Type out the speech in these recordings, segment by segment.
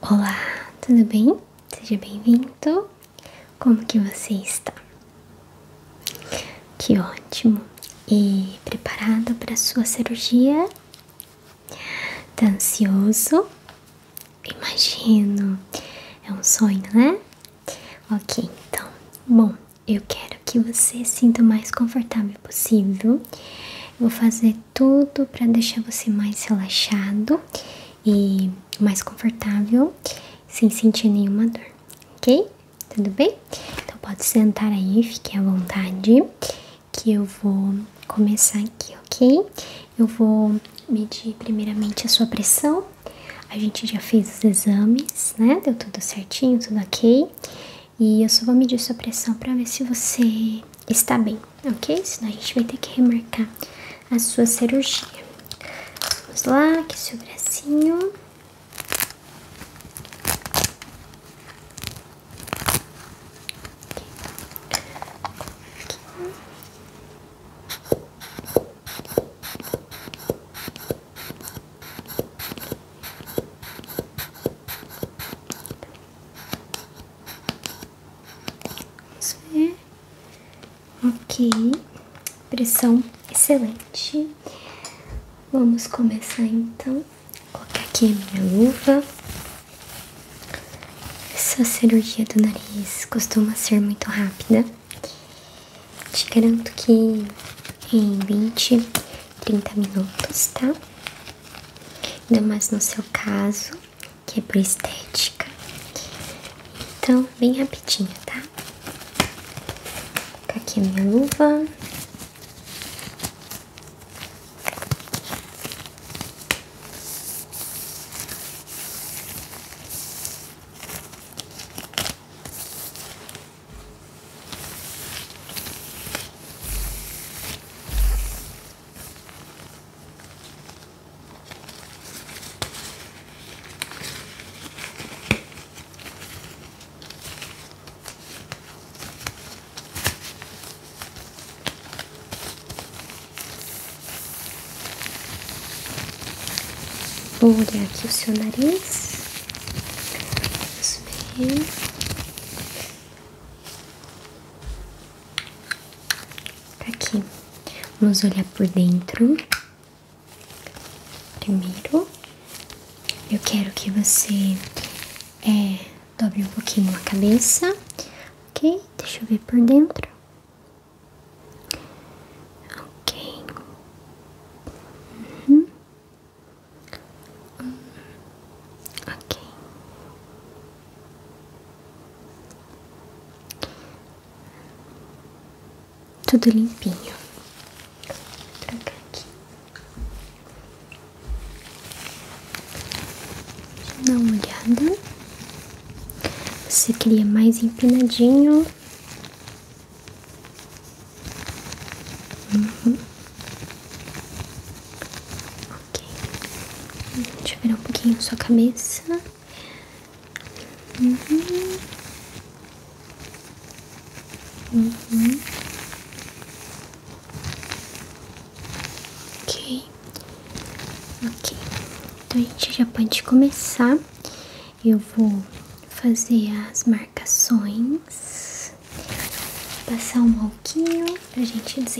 Olá, tudo bem? Seja bem-vindo. Como que você está? Que ótimo. E preparado para sua cirurgia? Tá ansioso? Imagino. É um sonho, né? Ok, então. Bom, eu quero que você se sinta o mais confortável possível. Eu vou fazer tudo para deixar você mais relaxado e mais confortável, sem sentir nenhuma dor, ok? Tudo bem? Então pode sentar aí, fique à vontade, que eu vou começar aqui, ok? Eu vou medir primeiramente a sua pressão. A gente já fez os exames, né? Deu tudo certinho, tudo ok. E eu só vou medir sua pressão para ver se você está bem, ok? Senão a gente vai ter que remarcar a sua cirurgia. Vamos lá, aqui seu bracinho. Isso é. Ok. Pressão excelente. Vamos começar então. Vou colocar aqui minha luva. Essa cirurgia do nariz costuma ser muito rápida. Te garanto que em 20, 30 minutos, tá? Ainda mais no seu caso, que é pro estética. Então, bem rapidinho, tá? Vou tá aqui a minha luva. Vou olhar aqui o seu nariz. Tá aqui. Vamos olhar por dentro. Primeiro, eu quero que você é, dobre um pouquinho a cabeça, ok? Deixa eu ver por dentro. Ok. Uhum. Ok. Tudo limpinho. Vou trocar aqui. Dá uma olhada. Você queria mais empinadinho? Uhum. Ok. Deixa eu virar um pouquinho sua cabeça. Uhum. Uhum. Ok. Ok. Então a gente já pode começar. Eu vou fazer as marcações. Passar um pouquinho pra gente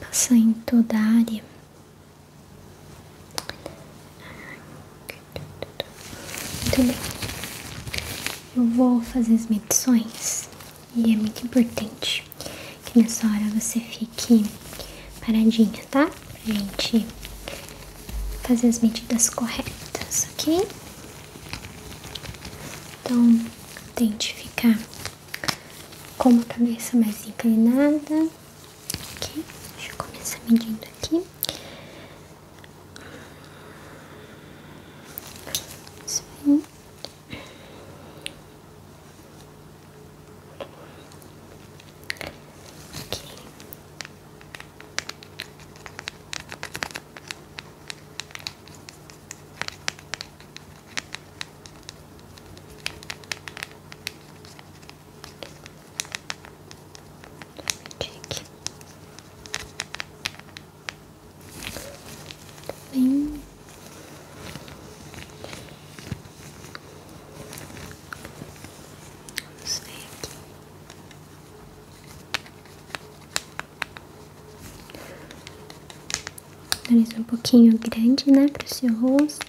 Passar em toda área. Muito bem. Eu vou fazer as medições e é muito importante que nessa hora você fique paradinha, tá? Pra gente fazer as medidas corretas, ok? Então, identificar ficar com a cabeça mais inclinada. Ok, deixa eu começar medindo aqui. Aqui. Check. Bem. Vamos ver aqui. Nariz um pouquinho grande, né, para o seu rosto.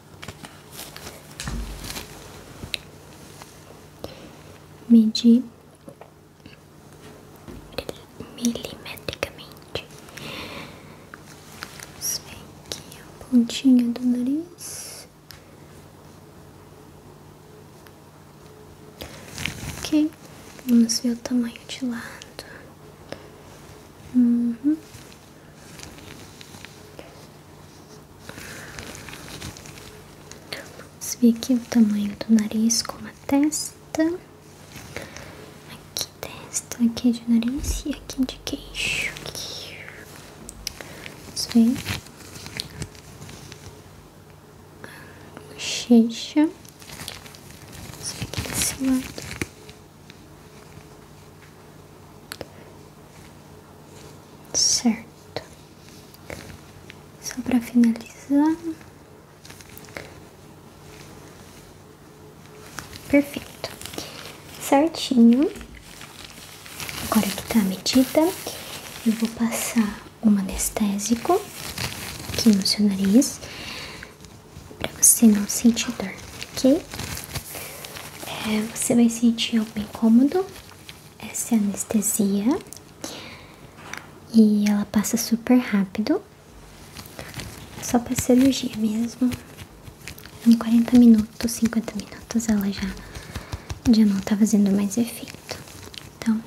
medir milimetricamente. Isso aqui pontinha do nariz. Ok, vamos ver o tamanho de lado. Uhum. Vamos ver aqui o tamanho do nariz com a testa. Aqui testa, aqui de nariz e aqui de queixo. Aqui. Vamos ver. aqui desse lado. Certo. Só para finalizar. Perfeito. Certinho. Agora que tá a medida, eu vou passar um anestésico aqui no seu nariz para você não sentir dor, ok? É, você vai sentir bem cômodo Essa é anestesia e ela passa super rápido. Só para cirurgia mesmo. Em 40 minutos, 50 minutos ela já já não tá fazendo mais efeito. Então,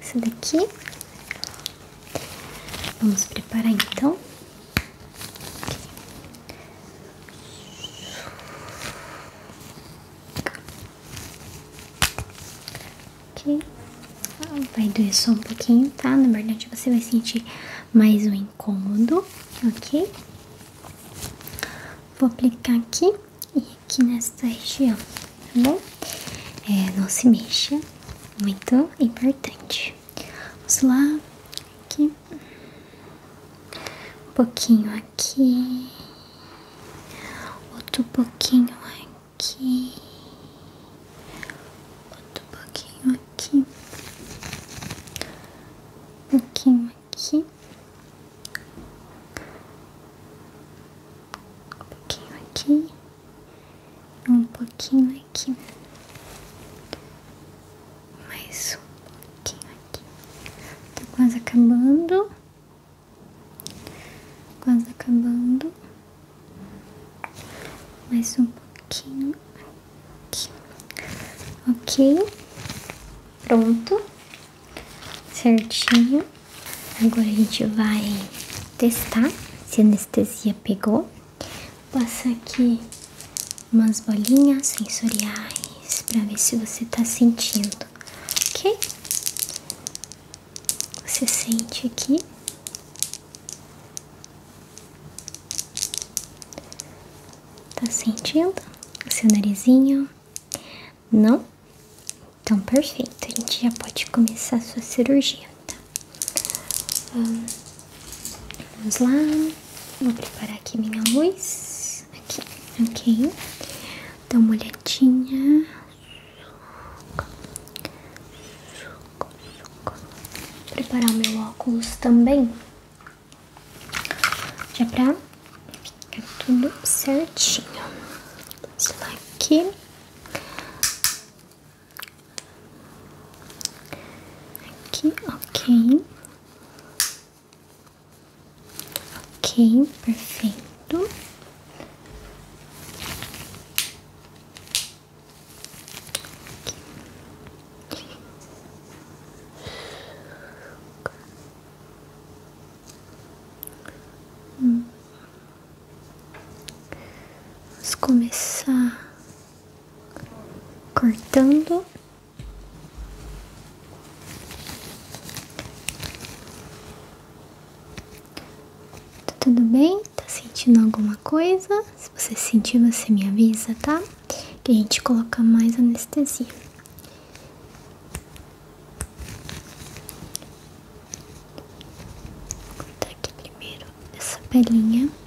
essa daqui vamos preparar então. Ok. Ah, vai doer só um pouquinho, tá? Na verdade, você vai sentir mais um incômodo, ok? Vou aplicar aqui e aqui nesta região, tá bom? É, não se mexa, muito importante. Vamos lá, aqui, um pouquinho aqui, outro pouquinho aqui, outro pouquinho aqui, um pouquinho aqui, um pouquinho aqui, um pouquinho aqui mais um pouquinho aqui. Tá quase acabando. Quase acabando. Mais um pouquinho aqui. Ok. Pronto. Certinho. Agora a gente vai testar se anestesia pegou. Passa aqui umas bolinhas sensoriais para ver se você está sentindo, ok? Você sente aqui. Tá sentindo o seu narizinho? Não? Então, perfeito. A gente já pode começar a sua cirurgia, tá? Vamos lá, vou preparar aqui minha luz. Aqui, ok. Dá uma olhadinha. Suco, suco. Vou preparar o meu óculos também. Já pra ficar tudo certinho. Vamos lá aqui. Aqui, ok. Ok, perfeito. Hum. Vamos começar cortando Tá tudo bem? Tá sentindo alguma coisa? Se você sentir, você me avisa, tá? Que a gente coloca mais anestesia. Vou botar aqui primeiro essa pelinha.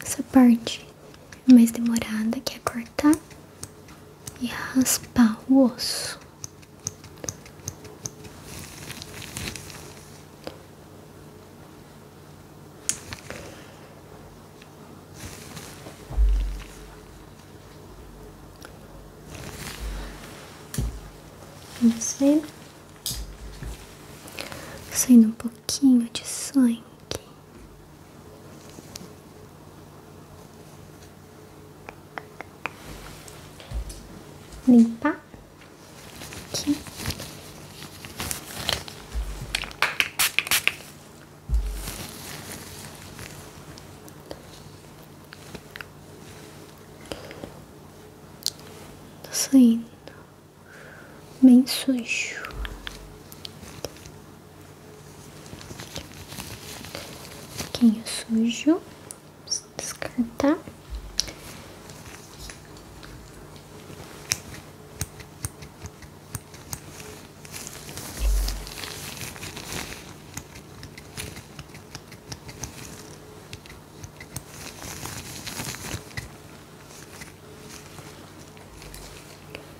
Essa parte mais demorada, que é cortar e raspar o osso. Vamos assim. ver, saindo um pouquinho pouquinho de sangue. Limpar aqui. Tô saindo bem sujo. Pouquinho sujo. descartar.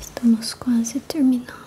Estamos quase terminando.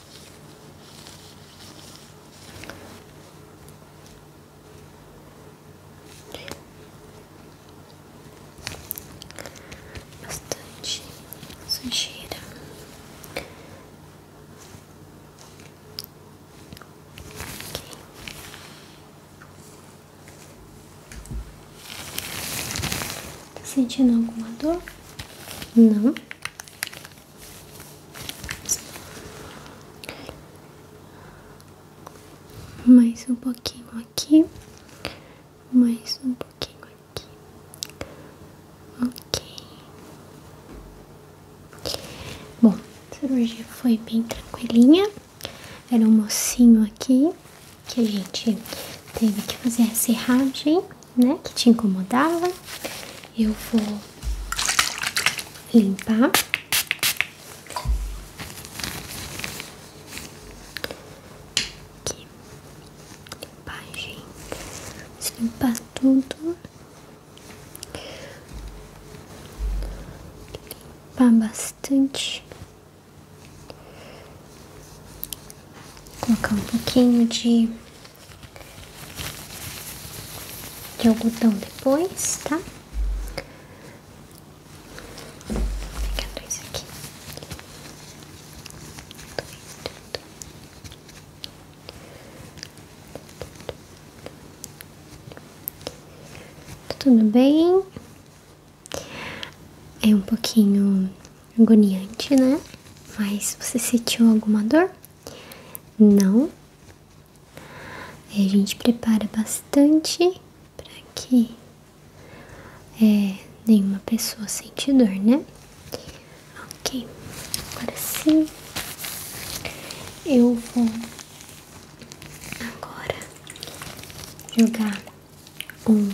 Bastante sujeira. Okay. Tá sentindo alguma dor? Não. Mais um pouquinho aqui, mais um pouquinho aqui, ok. Bom, a cirurgia foi bem tranquilinha. Era um mocinho aqui que a gente teve que fazer a serragem né? Que te incomodava. Eu vou limpar. Aqui. Limpagem. Vou limpar tudo. Limpar bastante. colocar um pouquinho de de algodão depois, tá? Vou pegar dois aqui. Tudo bem? É um pouquinho agoniante, né? Mas você sentiu alguma dor? Não. a gente prepara bastante para que é, nenhuma pessoa sente dor, né? Ok, agora sim eu vou agora jogar um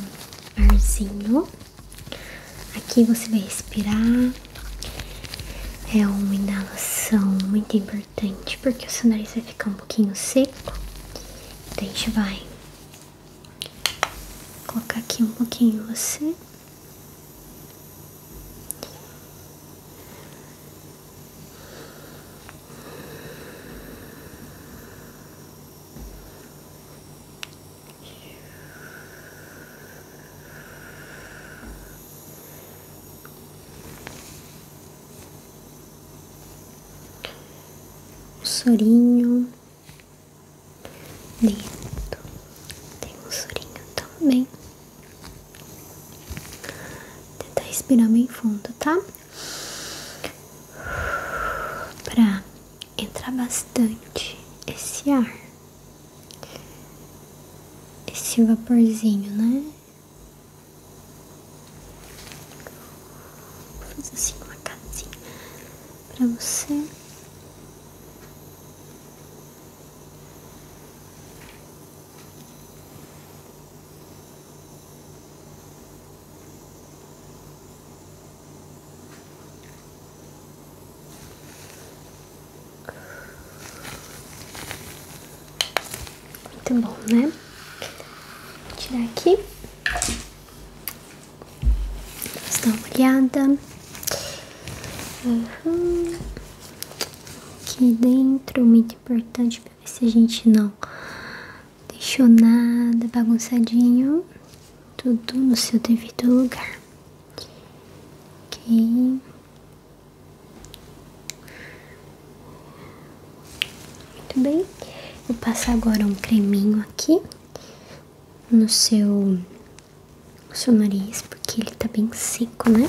arzinho Aqui você vai respirar. É uma inalação muito importante porque o seu nariz vai ficar um pouquinho seco. Então a gente vai colocar aqui um pouquinho você um sorinho dentro tem um sorinho também. Tentar respirar bem fundo, tá? Pra entrar bastante esse ar esse vaporzinho, né? Vou fazer assim uma casinha pra você. Muito tá bom, né? Vou tirar aqui. Vamos dar uma olhada. Uhum. Aqui dentro, muito importante pra ver se a gente não deixou nada bagunçadinho. Tudo no seu devido lugar. Ok. Muito bem. Vou passar agora um creminho aqui no seu, no seu nariz, porque ele tá bem seco, né?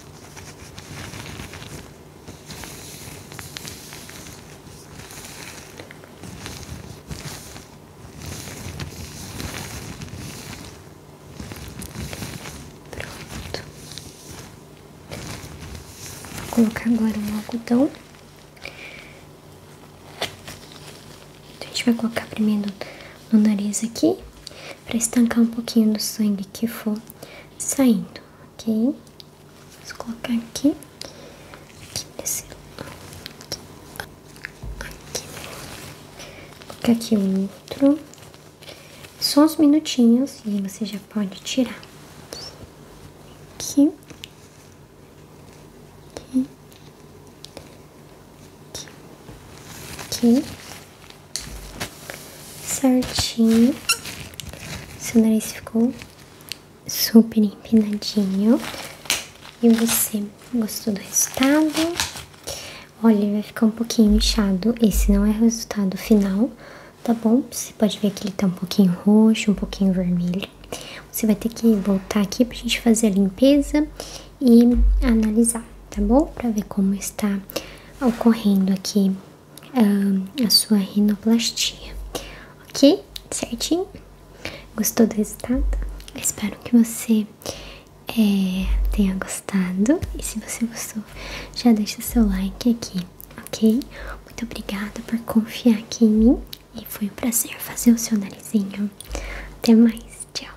Pronto. Vou colocar agora um algodão. Então, a gente vai colocar primeiro no nariz aqui para estancar um pouquinho do sangue que for saindo, ok? Vamos colocar aqui, aqui nesse, aqui, aqui. colocar aqui outro, só uns minutinhos e você já pode tirar. Aqui, aqui, aqui, aqui certinho. Seu nariz ficou super empinadinho. E você gostou do resultado? Olha, vai ficar um pouquinho inchado. Esse não é o resultado final, tá bom? Você pode ver que ele tá um pouquinho roxo, um pouquinho vermelho. Você vai ter que voltar aqui pra gente fazer a limpeza e analisar, tá bom? Para ver como está ocorrendo aqui ah, a sua rinoplastia, ok? Certinho? Gostou do resultado? espero que você eh, tenha gostado e se você gostou, já deixa seu like aqui, ok? Muito obrigada por confiar aqui em mim e foi um prazer fazer o seu narizinho. Até mais, tchau!